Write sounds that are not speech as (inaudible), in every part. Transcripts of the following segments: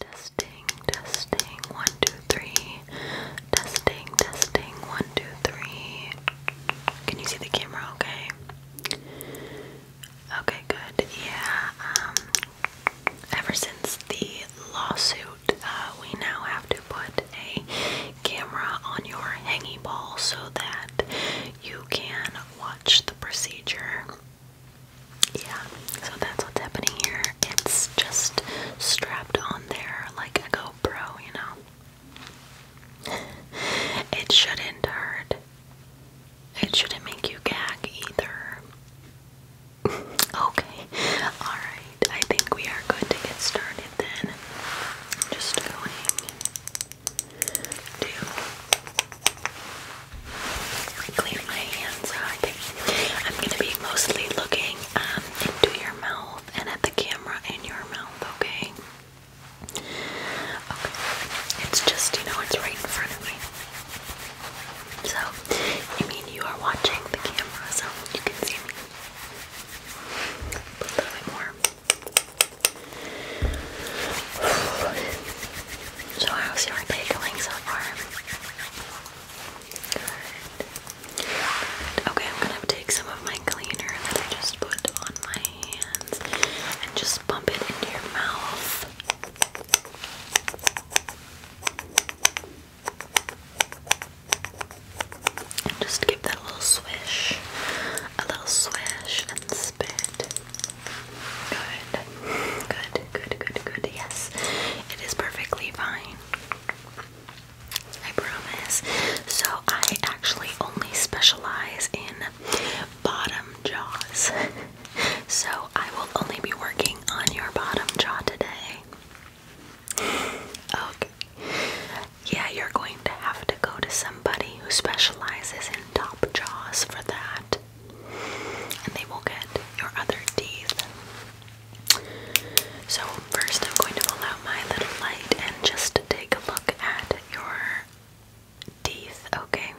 Testing, testing, one, two, three. Testing, testing, one, two, three. Can you see the camera okay? Okay, good. Yeah, um, ever since the lawsuit, uh, we now have to put a camera on your hanging ball so that you can watch the procedure. Yeah, so that's what's happening here. It's just strapped on there like a GoPro, you know. (laughs) it shouldn't hurt. It shouldn't make you gag either. (laughs) okay, alright. I think we are good to get started then. Just going to I clean my hands I'm gonna be mostly looking um, into your mouth and at the camera in your mouth, okay? Okay. It's just, you know, it's right in front of me. So, you mean, you are watching the camera, so you can see me. But a little bit more. (sighs) So I'll see you so far? Good. Good. Okay, I'm gonna take some of my cleaner that I just put on my hands and just bump it into your mouth. And just give that little swish, a little swish and spit. Good. Good, good, good, good. Yes, it is perfectly fine. I promise. So, I actually only specialize in bottom jaws. So, I will only be working on your bottom jaw today. Okay. Yeah, you're going to have to go to somebody who specializes in top jaws for that and they will get your other teeth. So, first, I'm going to pull out my little light and just to take a look at your teeth, okay?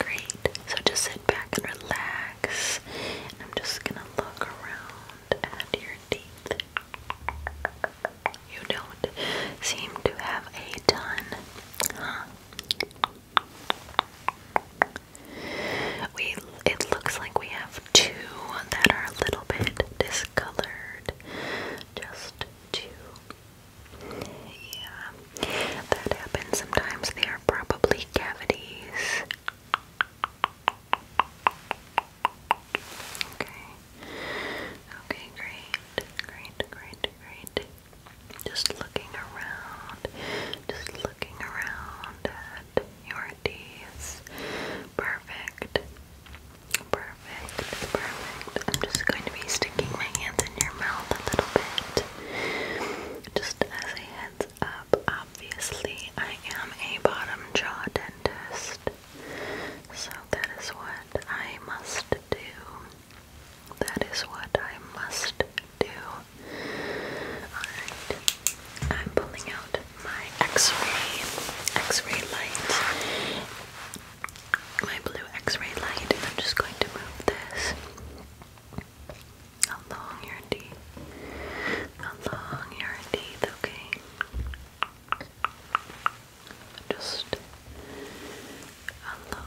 Great. So, just sit back and relax, and I'm just gonna look around at your teeth. You don't seem to have a ton, huh? We it looks like we have two that are a little bit discolored. Just two. Yeah. That happens sometimes. They are probably cavities. Okay. Okay, great. Great, great, great. Just looking around, just looking around at your teeth. Perfect. Perfect. Perfect. I'm just going to be sticking my hands in your mouth a little bit. Just as a heads up, obviously, I am a bottom jaw dentist. So that is what I must do. That is what I must do. Alright, I'm pulling out my x-ray, x-ray light, my blue x-ray light, I'm just going to move this along your teeth, along your teeth, okay? Just along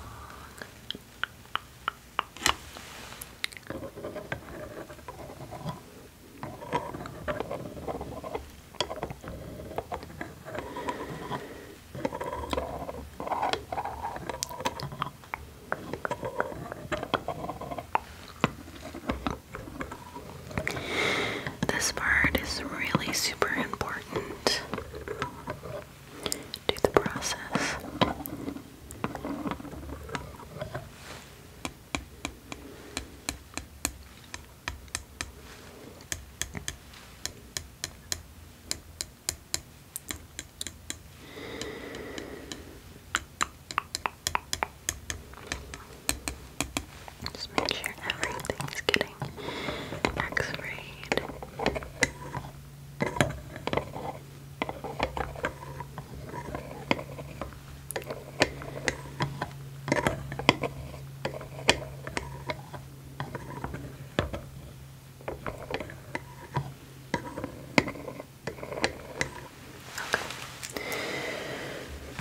this part is really super important do the process. Just make sure everything's getting x-rayed. Okay.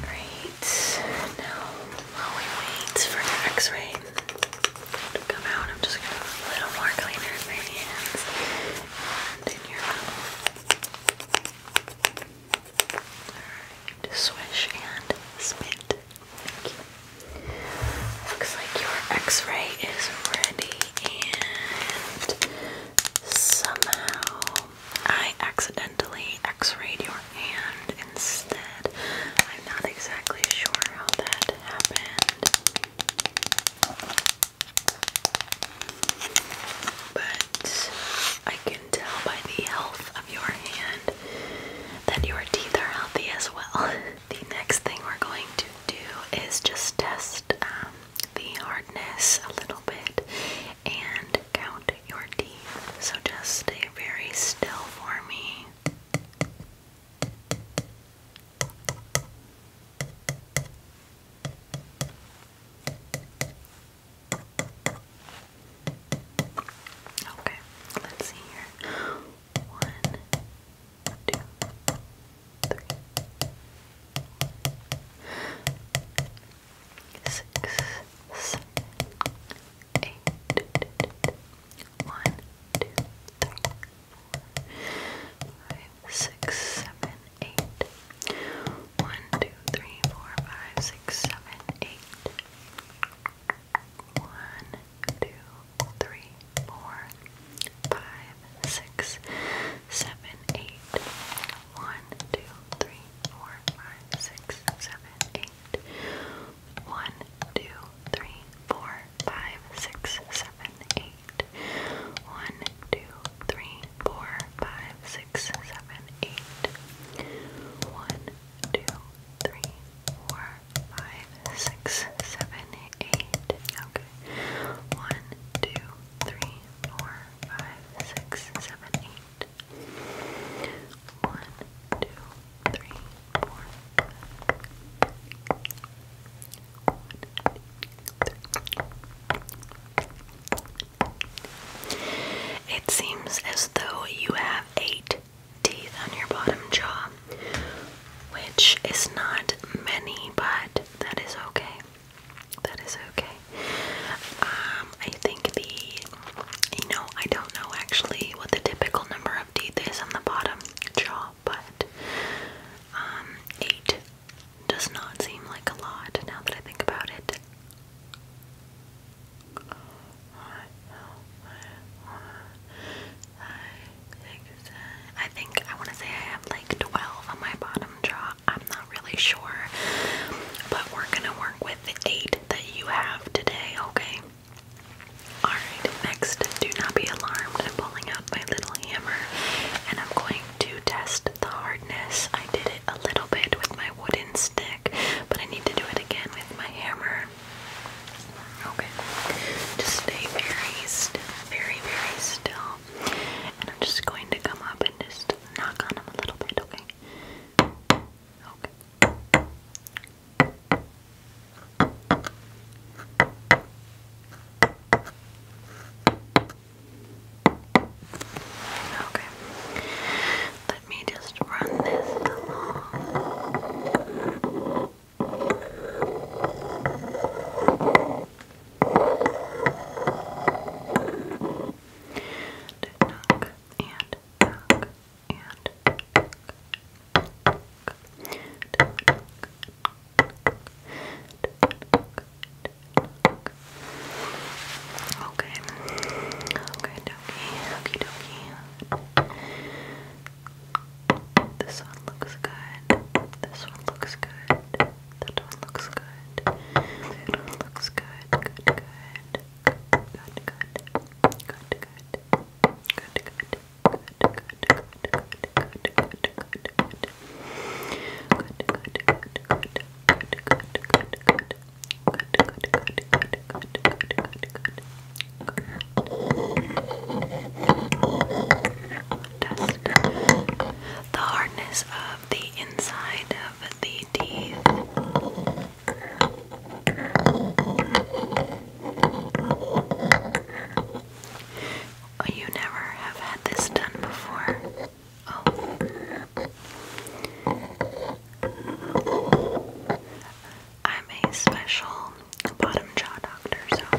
Great. Now, while we wait for the x-ray, come out, I'm just gonna put a little more cleaner in my hands and in your mouth. Alright, swish and spit. Looks like your x-ray is ready and somehow I accidentally x-rayed your hand instead. I'm not exactly sure how that but I can tell by the health of your hand that your teeth are healthy as well. (laughs) the next thing we're going to do is just test um, the hardness a little bit and count your teeth. So just stay very still for me. Okay, let's see here. One, two, three, six, seven, eight. One, two, three, four, five, six, seven, eight. One, two, three, four, five, six, seven, eight. One, two, three, four, five, six, seven, eight. One, two, three, four, five, six, seven, eight eight. One, two, three, four, five, six, seven, eight. One, two, three, four, five, six, seven, eight. One, two, three, four, five, six, seven, eight. Okay. One, two, three, four, five, six, seven, eight. One, two, three, four, five, one, two, three. It seems as though you have eight teeth on your bottom jaw, which is not many, but that is okay. That is okay. Um, I think the, you know, I don't know actually what the typical number number is on the bottom jaw, but um, eight does not seem like a lot now that I think about it. I think I want to say I have like 12 on my bottom jaw. I'm not really sure, but we're gonna work with eight that you have today, okay? Alright, next, do not be alarmed. I'm pulling out my little hammer and I'm going to test the hardness. I did it a little bit with my wooden stick, but I need to do it again with my hammer. Okay, just stay very still, very, very still. And I'm just going to come up and just knock on them a little bit, okay? Okay. Okay. Let me just run this along. Knock and knock. Okay. Okay, dokie, okie This one looks good. This one looks good. That one looks good. That one looks good. Good, good. Good, good. Good, good. The hardness of the inside of the teeth Oh, you never have had this done before. Oh. I'm a special bottom jaw doctor, so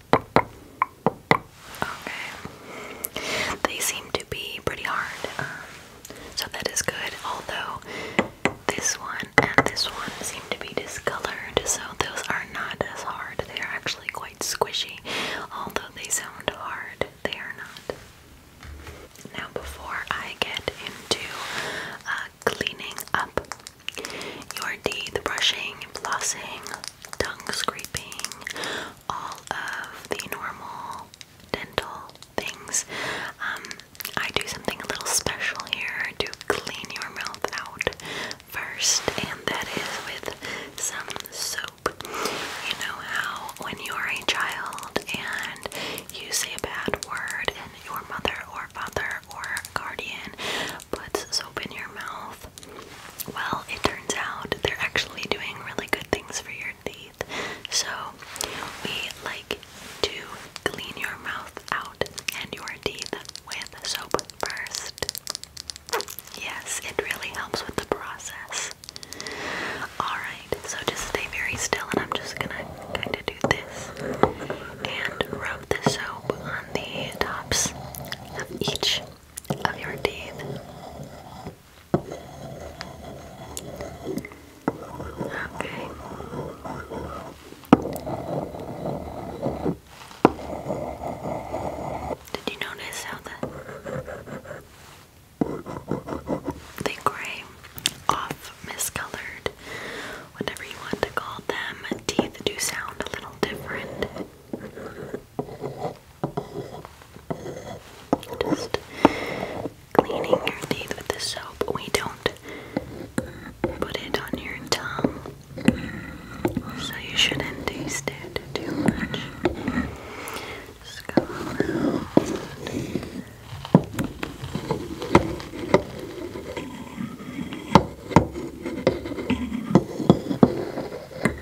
Okay. They seem to be pretty hard, um, so that is good. Although this one and this one seem to be discolored, so those are not as hard. They are actually quite squishy. Although they sound hard, they are not. Now, before I get into uh, cleaning up your teeth, brushing, flossing, tongue scraping, all of the normal dental things. Um, I do something a little special here to clean your mouth out first, and that is with some soap. You know how when you're a child and you say a bad word, and your mother or father or guardian puts soap in your mouth well, it turns out they're actually doing really good things for your teeth. So, we like to clean your mouth out and your teeth with soap first. Yes, it really helps with the process. Alright, so just stay very still, and I'm just gonna kind of do this and rub the soap on the tops of each of your teeth. Okay. Did you notice how the the gray off miscolored, whatever you want to call them, teeth do sound a little different? Just cleaning your teeth with the soap. We don't put it on your tongue, so you shouldn't taste it too much. Just go around.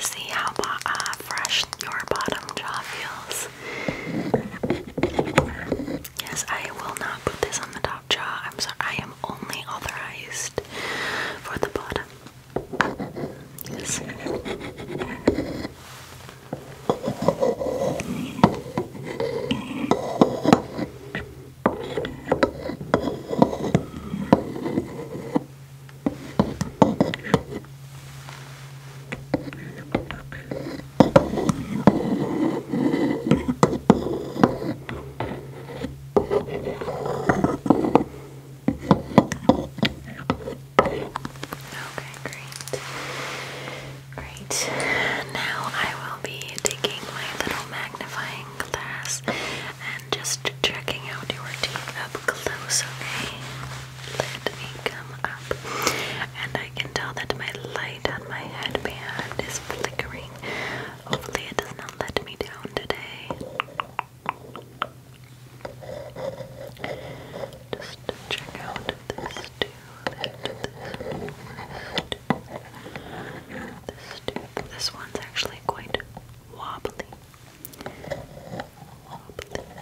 See how uh, fresh your bottom jaw feels. Yes, I will not put this on the top jaw. I'm sorry, I am only authorized for the bottom. Yes. Okay, great. Great. Now I will be taking my little magnifying glass and just checking out your teeth up close, okay? let me come up. And I can tell that my light on my headband is flickering. Hopefully, it does not let me down today. Just check out this tube, and this, this tube. This one's actually quite wobbly. Just want to take a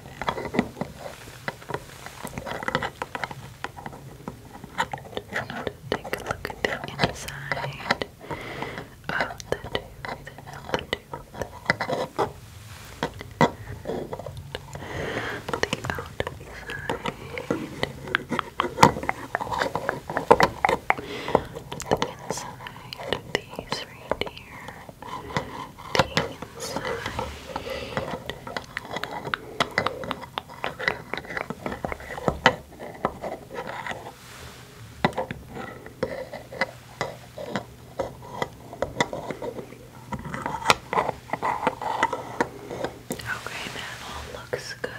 look at the inside of the tooth, the tooth. The outside. The inside of these Okay, that all looks good.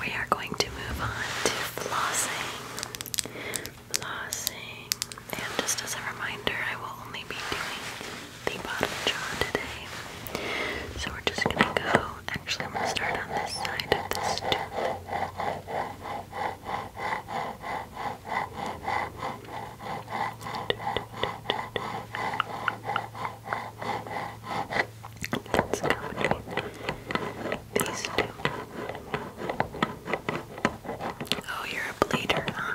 We are going to move on to flossing flossing. And just as a reminder, I will only be doing the bottom jaw today. So we're just gonna go. Actually, I'm gonna start on this side of this tooth. Let's go Oh, you're a bleeder, huh?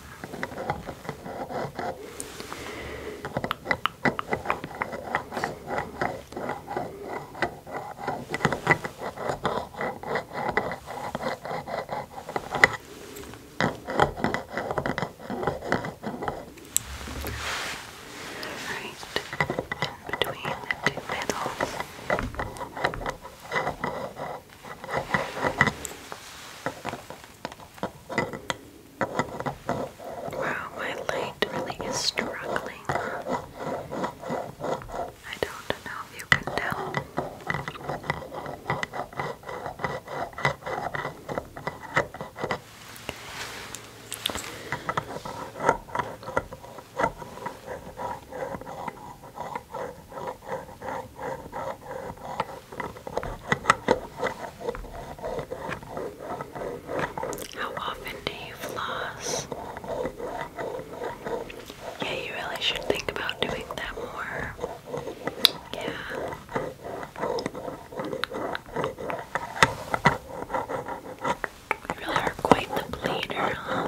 Right in between the two petals. Right. Wow, my light really is struggling. I don't know if you can tell. How often do you floss? Yeah, you really should think about doing that more. Yeah. really are quite the bleeder, huh?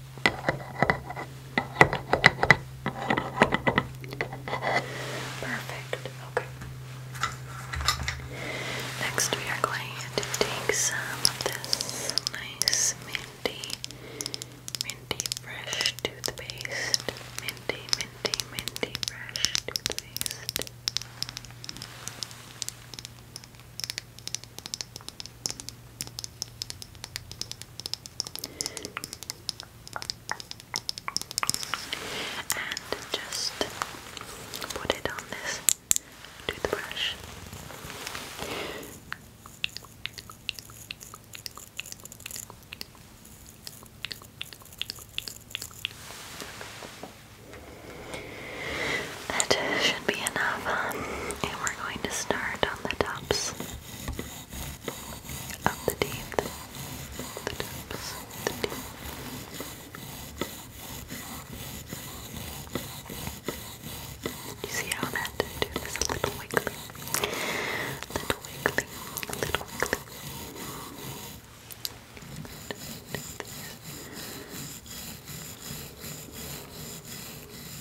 Perfect. Okay. Next, we are going to take some of this nice minty, minty fresh toothpaste. Minty, minty, minty fresh toothpaste. And just put it on this toothbrush. That should be enough. Um, and we're going to start on the tops of the teeth. The tops the teeth. You see how that a little wiggly? Little wiggly, a little wiggly.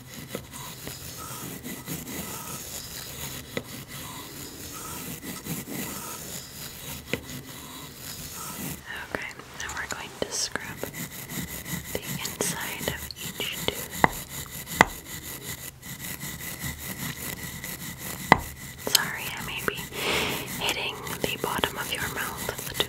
Okay, now we're going to scrub the inside of each tooth. Sorry, I may be hitting the bottom of your mouth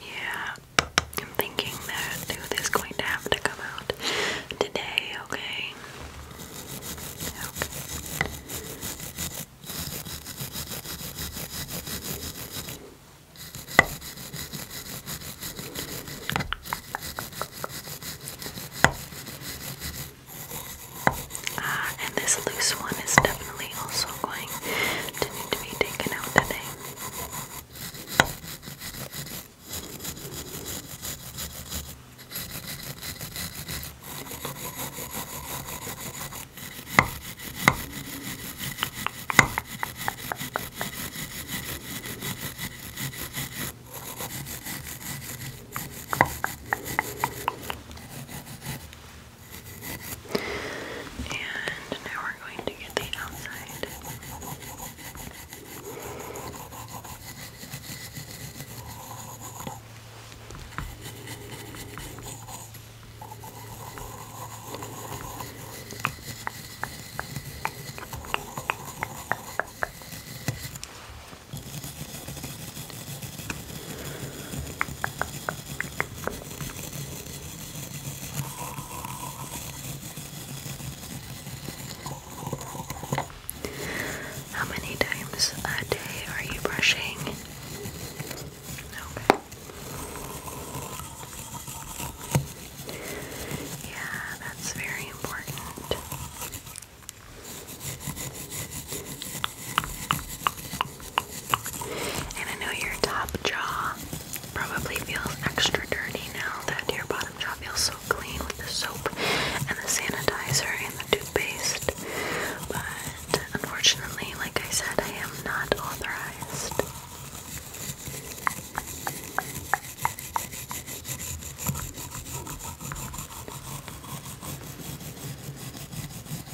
Yeah, I'm thinking that tooth is going to have to come out today, Okay. Uh, and this loose one is definitely also going to need to be taken out today. And now we're going to get the outside. How many times a day are you brushing? Okay. Yeah, that's very important. And I know your top jaw probably feels extra dirty now that your bottom jaw feels so clean with the soap and the sanitizer and the toothpaste. But unfortunately, like I said, I am not authorized.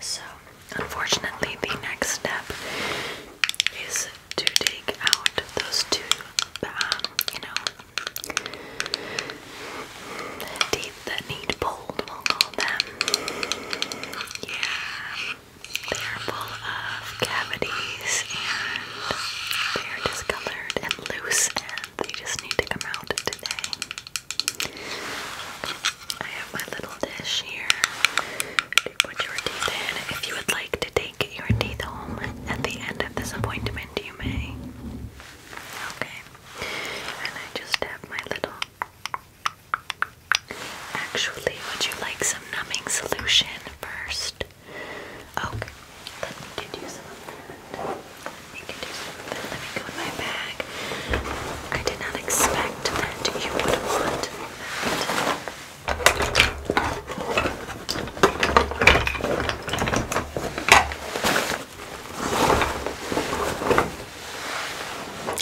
So, unfortunately, the next step is to take out those two, um, you know, teeth that need pulled, Yeah, they're full of cavities and they're discolored and loose and they just need to come out today. I have my little dish here to put your teeth in. If you would like to take your teeth home at the end of this appointment, you may. Okay. And I just have my little. Actually, would you like some numbing solution first? Okay. Let me get you Let me get you Let me go in my bag. I did not expect that you would want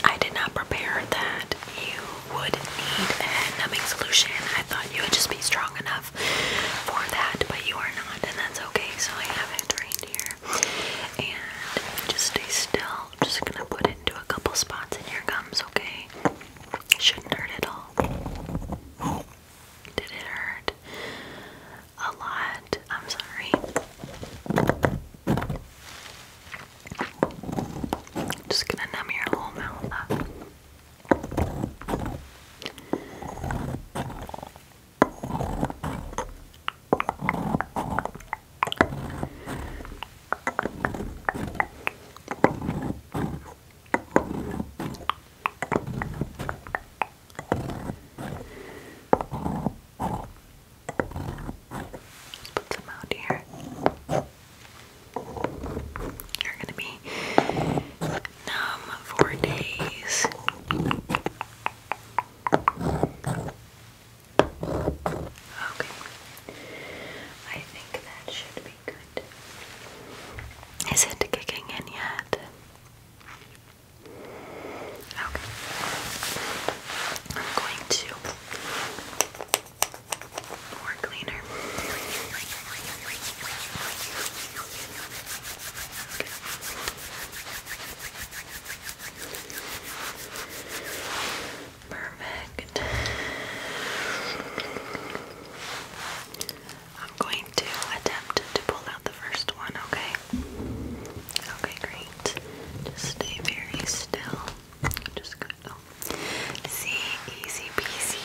I did not prepare that you would need a head numbing solution. I thought you would just be strong enough for that, but you are not, and that's okay. So I have it right here. And just stay still. just gonna put into a couple spots in your gums, okay? Shouldn't hurt at all. Did it hurt? A lot. I'm sorry. just gonna numb your whole mouth up. Put some out here. You're gonna be numb for days. Okay. I think that should be good. Is it kicking in yet? Okay. I'm going to more cleaner. Perfect. I'm going to attempt to pull out the first one, okay? Okay, great. Just stay very still. Just good. Oh. See, easy peasy.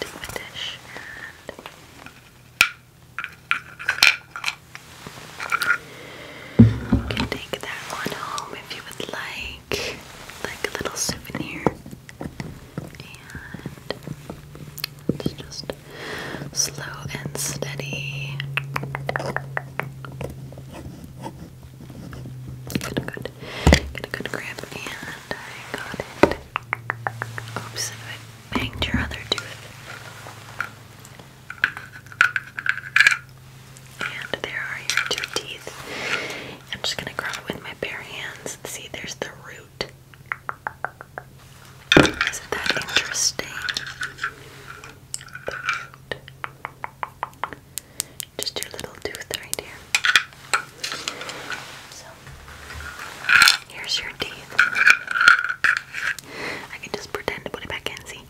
Take you can take that one home if you would like, like a little souvenir. And it's just slow and steady. Good, good. Gonna go to and I got it. Oops, banged your other tooth. And there are your two teeth. I'm just gonna grab it with my bare hands. and See, there's the root. Isn't that interesting? Just your little tooth right here. Here's your teeth. I can just pretend to put it back in, see?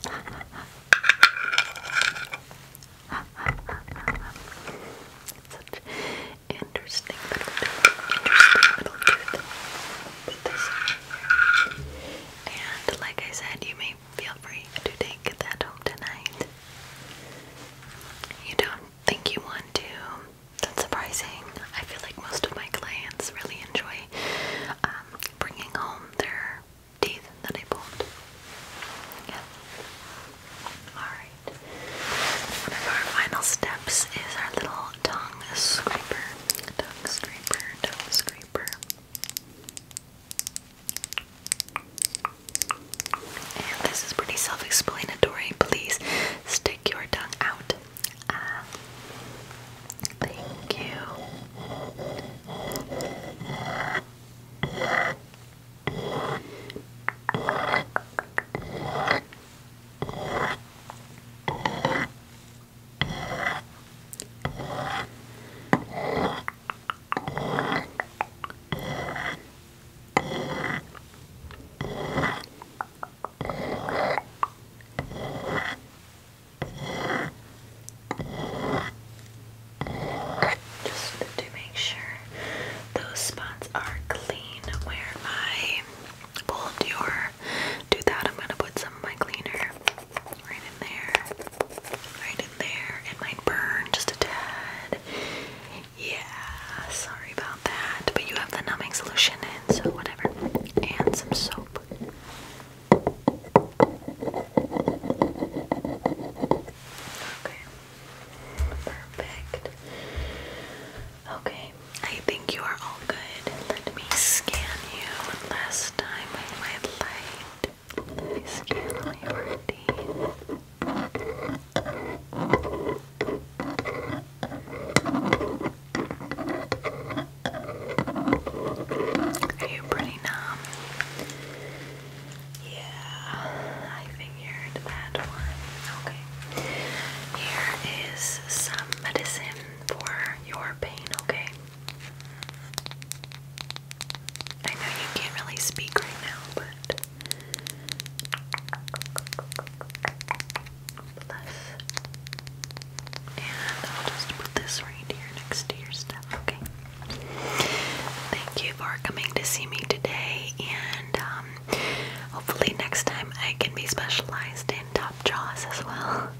Such interesting little tooth. and like I said, you may feel free to take that home tonight. You don't think you want to that's surprising. I feel like most of my clients really enjoy um, bringing home their teeth that I pulled. Yeah. Alright. One of our final steps is our little tongue scraper. Tongue scraper, tongue scraper. And this is pretty self explanatory. Please stay stick your tongue out. Ah. Thank you. Just to make sure those spots are clean where I pulled your do that. I'm gonna put some of my cleaner right in there. Right in there. It might burn just a tad. Yeah, sorry about that. But you have the numbing solution and so whatever. And some soap. Okay. Perfect. Okay, I think you are all good. Let me scan you last time with my light. Let me scan all your are you pretty numb? Yeah, I figured that one. Okay. Here is some medicine for your pain, okay? I know you can't really speak right now, but and I'll just put this right here next to your stuff, okay? Thank you for coming to see me today, and um, hopefully, next time I can be specialized in top jaws as well.